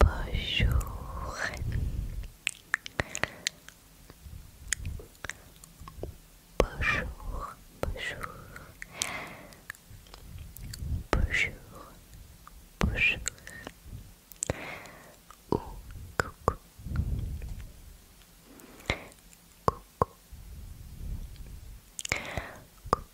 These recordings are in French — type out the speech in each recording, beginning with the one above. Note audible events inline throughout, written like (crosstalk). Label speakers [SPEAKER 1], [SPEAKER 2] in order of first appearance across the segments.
[SPEAKER 1] Bonjour. Bonjour. Bonjour. Bonjour. Bonjour. Oh, coucou. Coucou.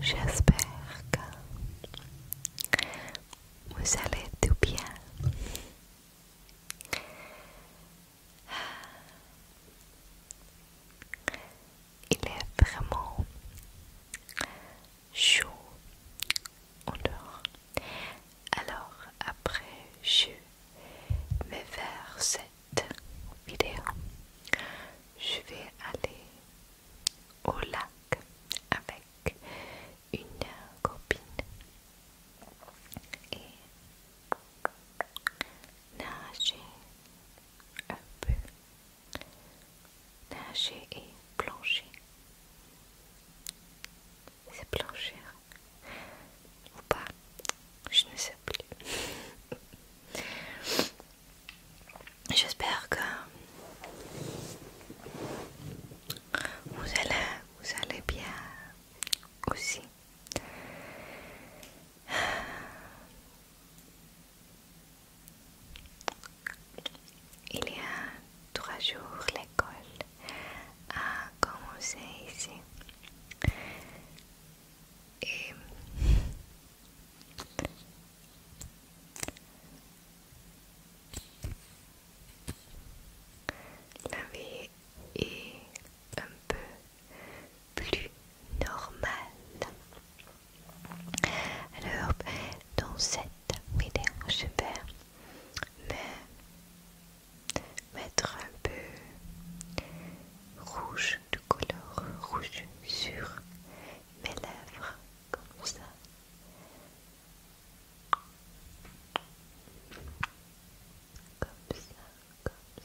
[SPEAKER 1] J'espère que vous allez tout bien. Il est vraiment chaud en dehors. Alors après, je vais faire vidéo, je vais aller au lac avec une copine et nager un peu, nager et plancher. C'est plancher hein. ou pas, je ne sais J'espère que vous allez, vous allez bien aussi. Il y a trois jours, l'école a commencé ici. Et eh, la est un peu plus normale. Alors, dans cette vidéo, je vais mettre un peu rouge couleur rouge sur mes lèvres, comme ça. Comme ça, comme ça.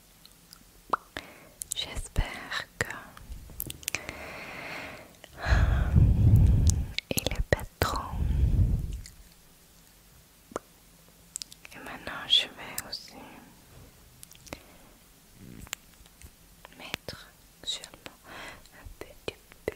[SPEAKER 1] J'espère que il euh, est pas trop. Et maintenant, je vais aussi mettre seulement un petit peu,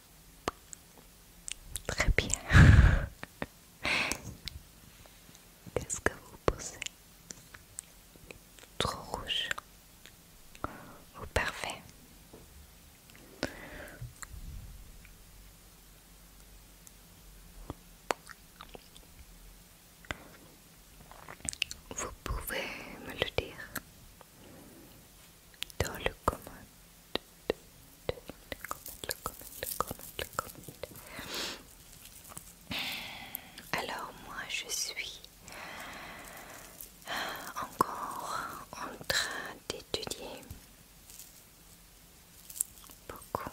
[SPEAKER 1] Très bien. (laughs) Qu'est-ce que vous pensez Trop rouge. Vous oh, parfait. Vous pouvez me le dire dans le commande. Le commande, le commande, le commande, le Alors moi je suis encore en train d'étudier beaucoup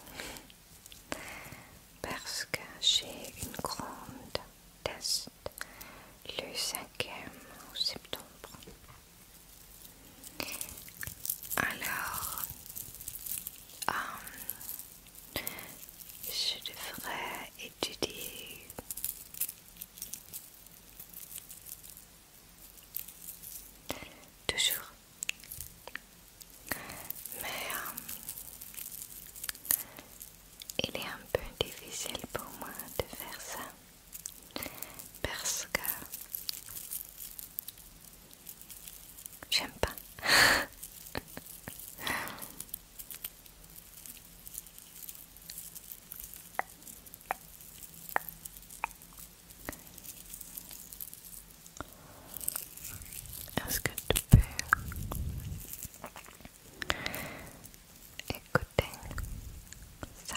[SPEAKER 1] parce que j'ai une grande test le 5 septembre alors, euh, je devrais étudier toujours, mais euh, il est un peu difficile pour moi de faire ça parce que j'aime pas. Est-ce que tu peux écouter ça?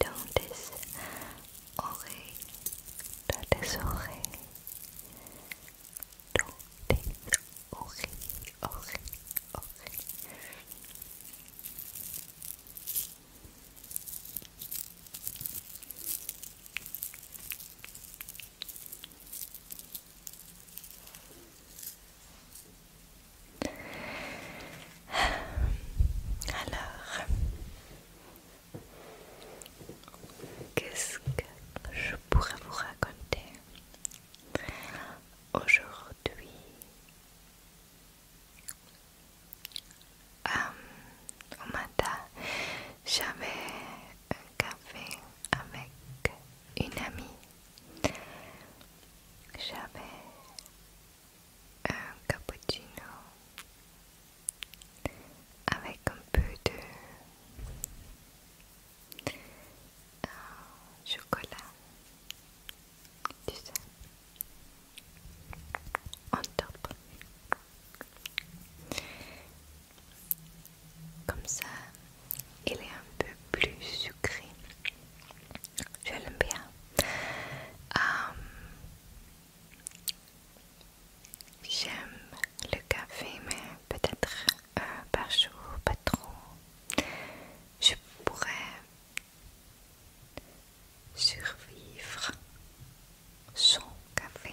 [SPEAKER 1] don't is oreille. Dat is oreille. Don't is oreille, oreille, oreille. Alors, qu'est-ce que je pourrais vous raconter aujourd'hui euh, Au matin, j'avais un café avec une amie. J'avais un cappuccino avec un peu de euh, chocolat, tu sais, en top. Comme ça, il est un peu plus sucré l'aime bien. Euh, j'aime le café, mais peut-être un euh, par jour, pas trop. Je pourrais survivre sans café.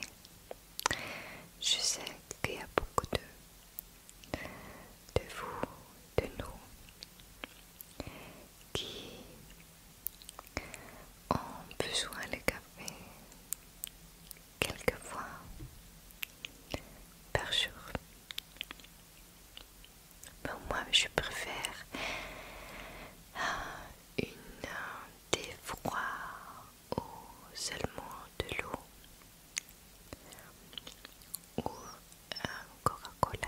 [SPEAKER 1] Je sais qu'il y a beaucoup de, de vous, de nous, qui ont besoin de café quelquefois par jour. moi, je préfère euh, une thé euh, froid ou seulement de l'eau ou un euh, Coca-Cola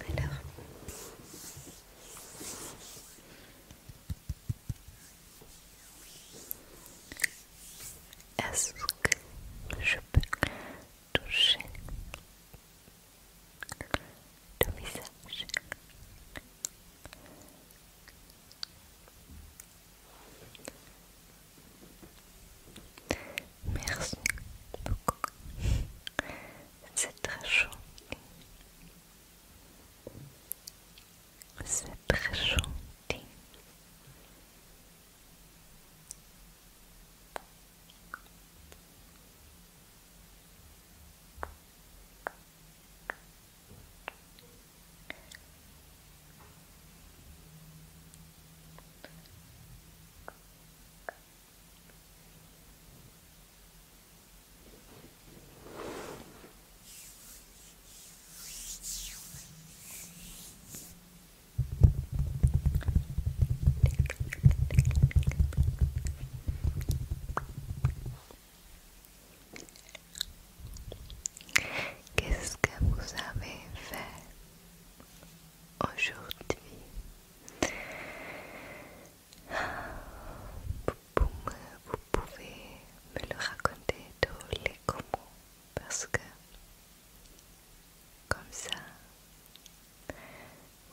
[SPEAKER 1] Alors. Est-ce que je peux toucher ton visage Merci beaucoup. C'est très chaud. C'est très gentil. Qu'est-ce que vous avez fait aujourd'hui vous pouvez me le raconter tous les comment parce que comme ça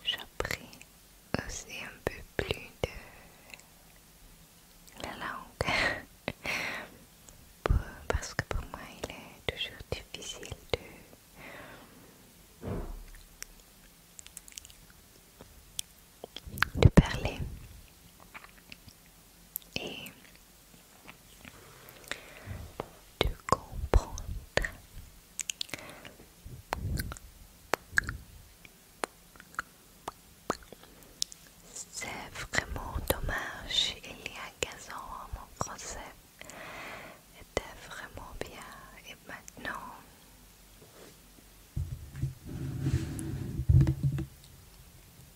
[SPEAKER 1] j'apprends aussi un peu plus de la langue (laughs) parce que pour moi il est toujours difficile de de parler et de comprendre. C'est vraiment dommage, il y a 15 ans, mon concept était vraiment bien et maintenant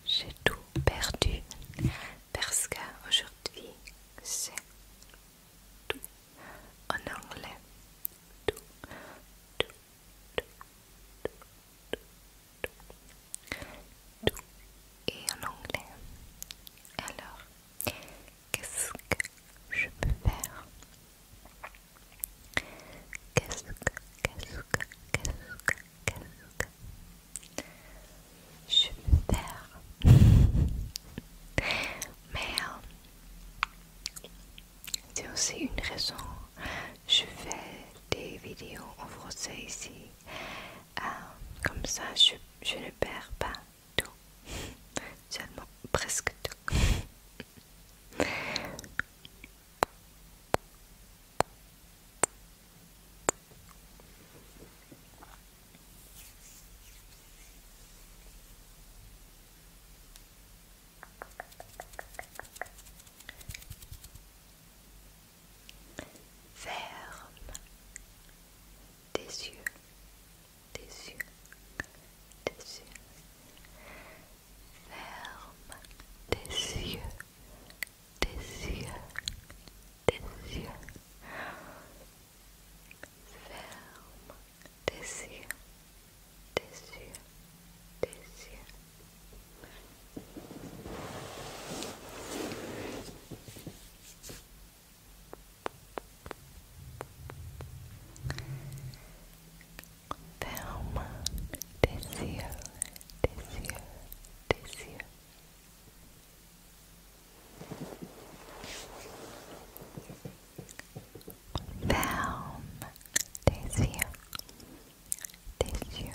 [SPEAKER 1] j'ai tout perdu parce qu'aujourd'hui c'est tout en anglais. tout, tout, tout et en anglais. Alors, Qu'est-ce que je peux faire Qu'est-ce que, qu'est-ce que, qu'est-ce que, qu'est-ce que je peux faire Mais (laughs) c'est aussi une raison. Je fais des vidéos en français ici. Ah, comme ça, je ne perds pas tout, (laughs) seulement presque tout. Ferme, des yeux, des yeux, des yeux. Ferme des yeux, des yeux, des yeux. Ferme des yeux, des yeux, des yeux. Thelma, descia, descia, descia. Thelma, descia, descia.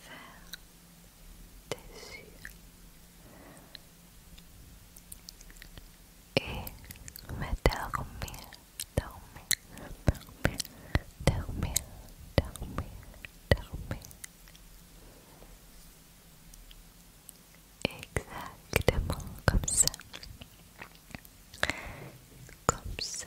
[SPEAKER 1] Faire tes yeux et me dormir, dormir, dormir, dormir, dormir, dormir. Exactement comme ça. Comme ça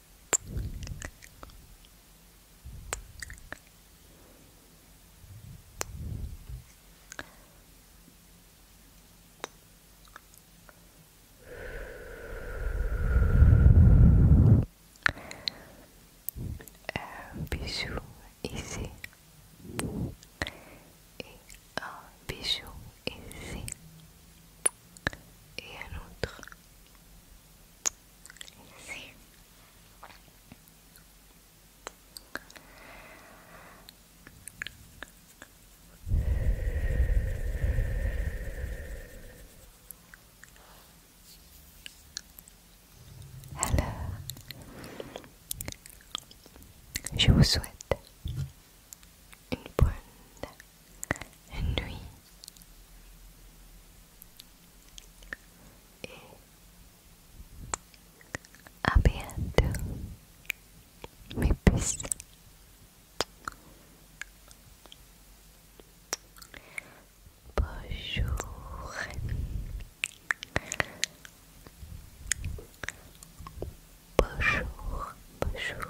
[SPEAKER 1] Un bijou ici et un bijou ici et un autre. Alors, je vous souhaite une bonne nuit et à bientôt mes puces Bonjour Bonjour Bonjour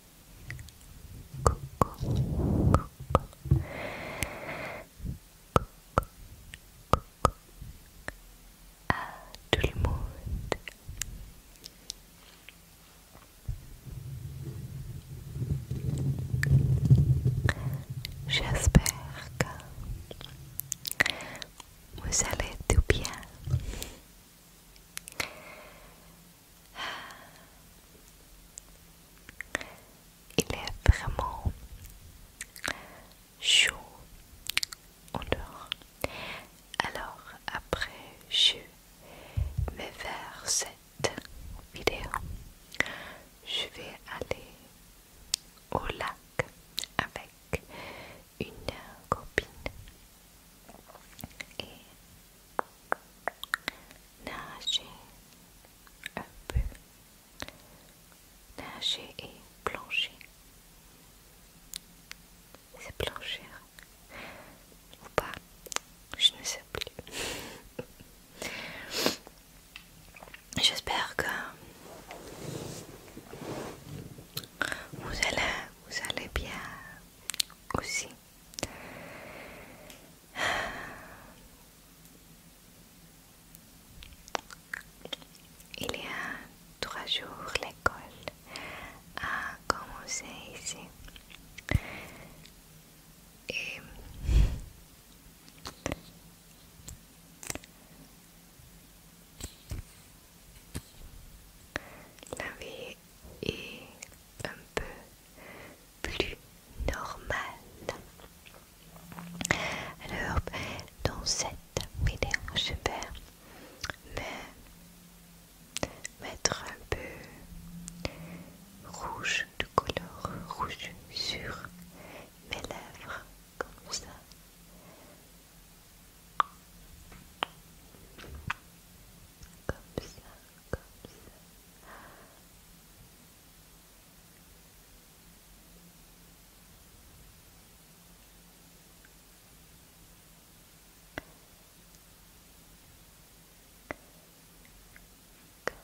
[SPEAKER 1] à tout le monde. J'espère que vous allez tout bien. Il est vraiment chaud en dehors. Alors après, je vais faire cette vidéo. Je vais aller au lac avec une copine et nager un peu, nager et plancher. C'est plancher hein. ou pas, je ne sais plus. (laughs) J'espère que vous allez, vous allez bien aussi. Il y a trois jours, l'école a commencé ici. Et la vie est un peu plus normal Alors, dans cette vidéo, je vais mettre un peu rouge, de couleur rouge sur mes lèvres, comme ça comme ça, comme ça. Comme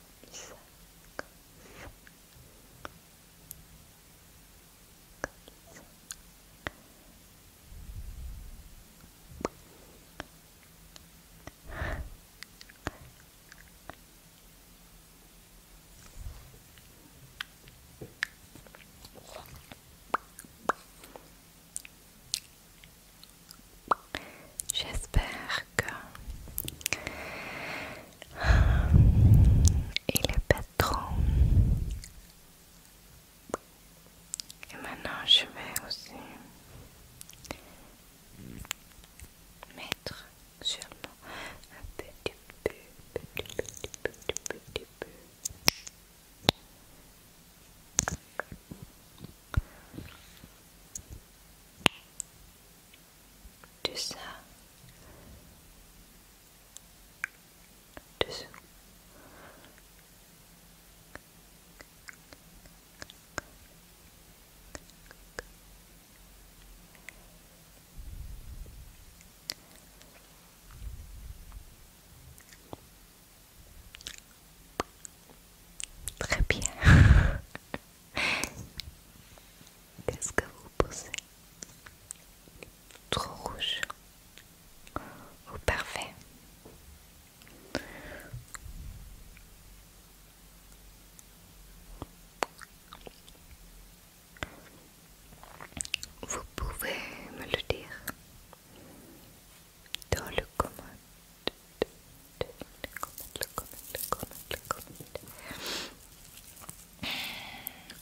[SPEAKER 1] ça, comme ça. Comme ça. J'espère que il est patron Et maintenant je vais aussi mettre seulement un petit peu, petit, petit, De ça, Très bien. (laughs) Qu'est-ce que vous pensez Trop rouge. Ou oh, parfait. Vous pouvez me le dire dans le commentaire.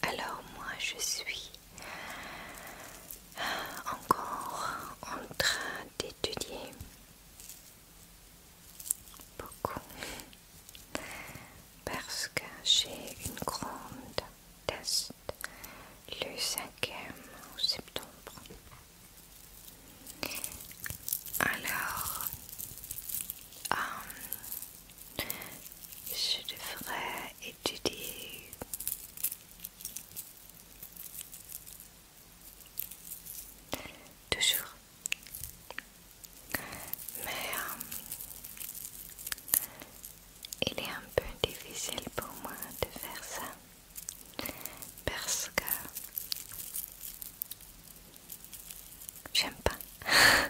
[SPEAKER 1] Alors moi je suis encore en train d'étudier Beaucoup. Parce que j'ai une grande test le 5e septembre. Alors, euh, je devrais étudier toujours. Mais euh, il est un peu difficile pour moi de faire ça parce que j'aime pas. (laughs)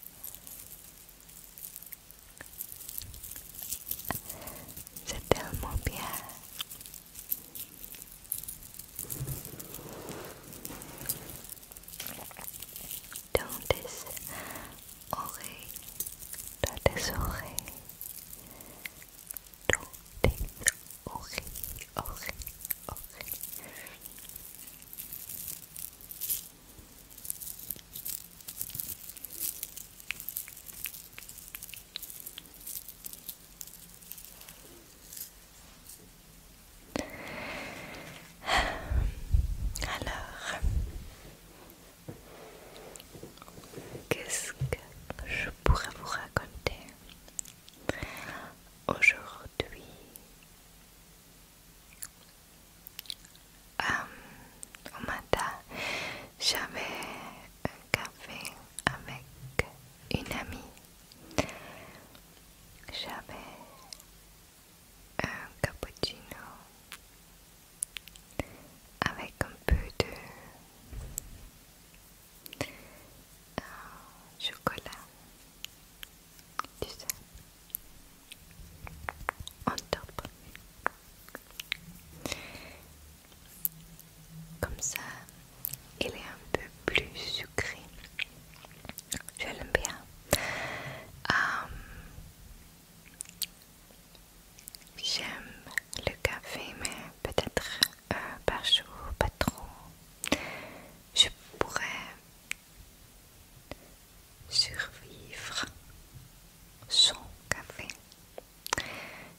[SPEAKER 1] C'est tellement bien. Dondes oreilles, dans tes oreilles, dans tes oreilles, oreilles, Alors, qu'est-ce que je pourrais vous raconter aujourd'hui au matin, j'avais un café avec une amie. J'avais un cappuccino avec un peu de euh, chocolat tu sais, on top. Comme ça, il est un peu plus sucré. Je l'aime bien. Euh, j'aime le café, mais peut-être euh, par jour, pas trop. Je pourrais survivre sans café.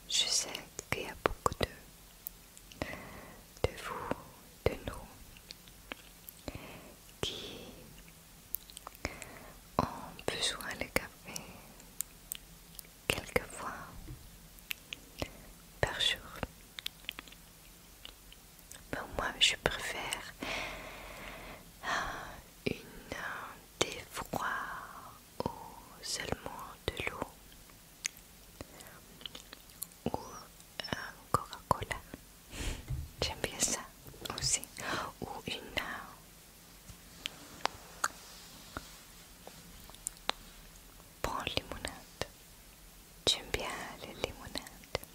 [SPEAKER 1] Je sais qu'il y a beaucoup de, de vous, de nous, qui ont besoin de café quelquefois par jour. Ben, moi je préfère euh, une thé euh, ou seulement de l'eau ou un euh, Coca-Cola. (laughs) J'aime bien ça aussi. Ou une prends bonne limonade. J'aime bien les limonades.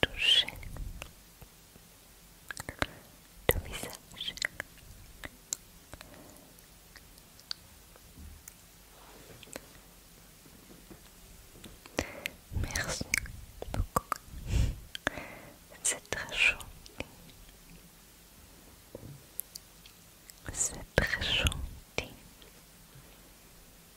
[SPEAKER 1] toucher ton visage. Merci beaucoup. C'est très chaud. C'est très gentil.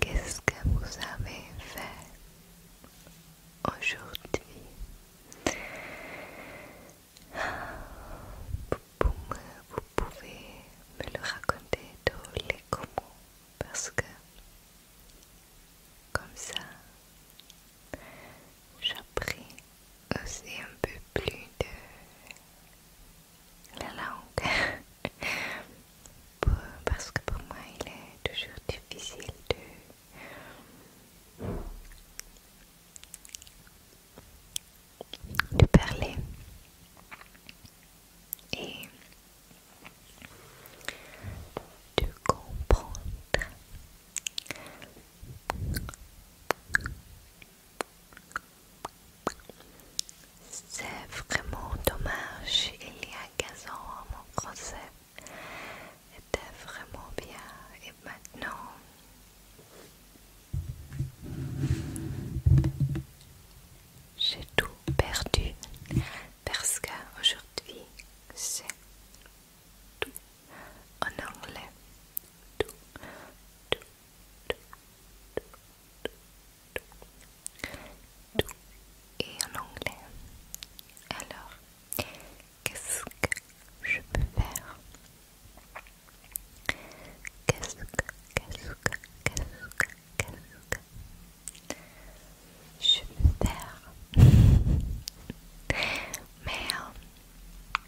[SPEAKER 1] Qu'est-ce que vous avez fait aujourd'hui vous, pouvez me le raconter dans les comments parce que comme ça J'apprends aussi un peu plus de la langue (laughs) parce que pour moi il est toujours difficile de, de parler et de comprendre c'est vraiment dommage, il y a 15 ans mon procès. était vraiment bien et maintenant j'ai tout perdu parce qu'aujourd'hui c'est tout en anglais. Tout, tout, tout, tout, tout, tout, tout et en anglais. Alors, qu'est-ce que je peux faire Qu'est-ce que, qu'est-ce que, qu'est-ce que, qu'est-ce que je me perds, Mais euh,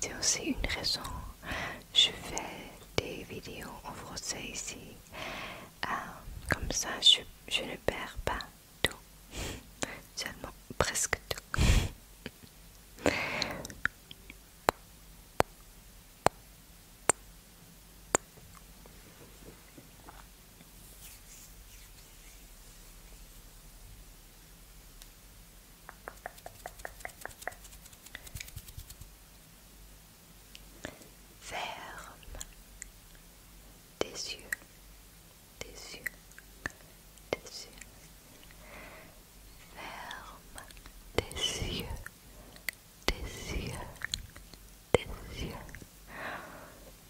[SPEAKER 1] c'est aussi une raison. Je fais des vidéos en français ici. Euh, comme ça, je, je ne perds pas tout. Seulement presque tout. Ferme tes yeux, tes yeux, tes yeux. Ferme tes yeux, tes yeux, tes yeux.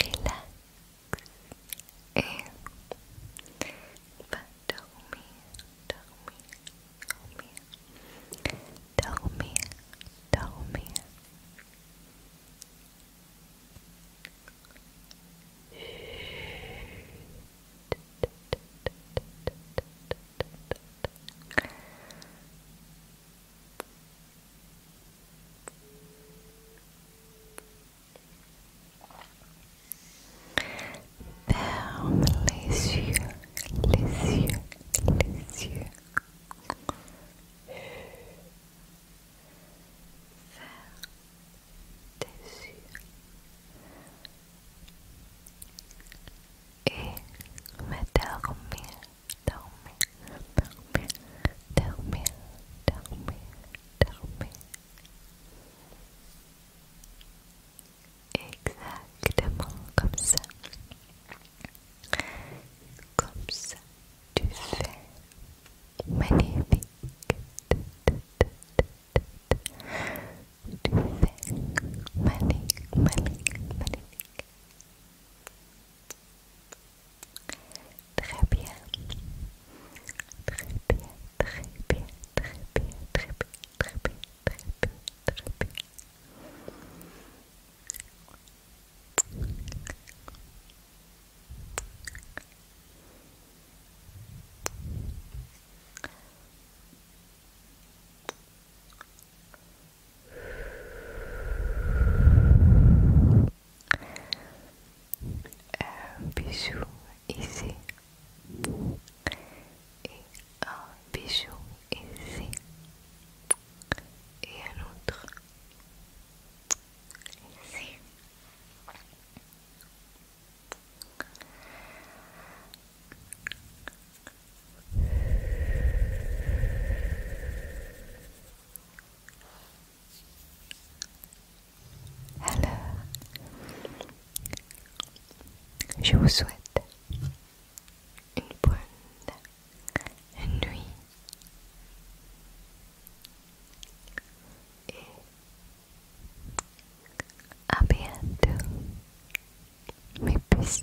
[SPEAKER 1] relax and tell me, tell me, tell me, tell me, Ferme les yeux, les yeux, les yeux. Ferme tes yeux. Et me dormir dormir, dormir, dormir, dormir, dormir. Exactement comme ça. Comme ça, tu fais magnifique. Tu fais magnifique, magnifique, magnifique. Très bien. Très bien, très bien, très bien, très bien, très bien, très bien, très bien. Euh, un bijou ici et un bijou ici et un autre ici alors, je vous souhaite une bonne nuit et à bientôt mes puces.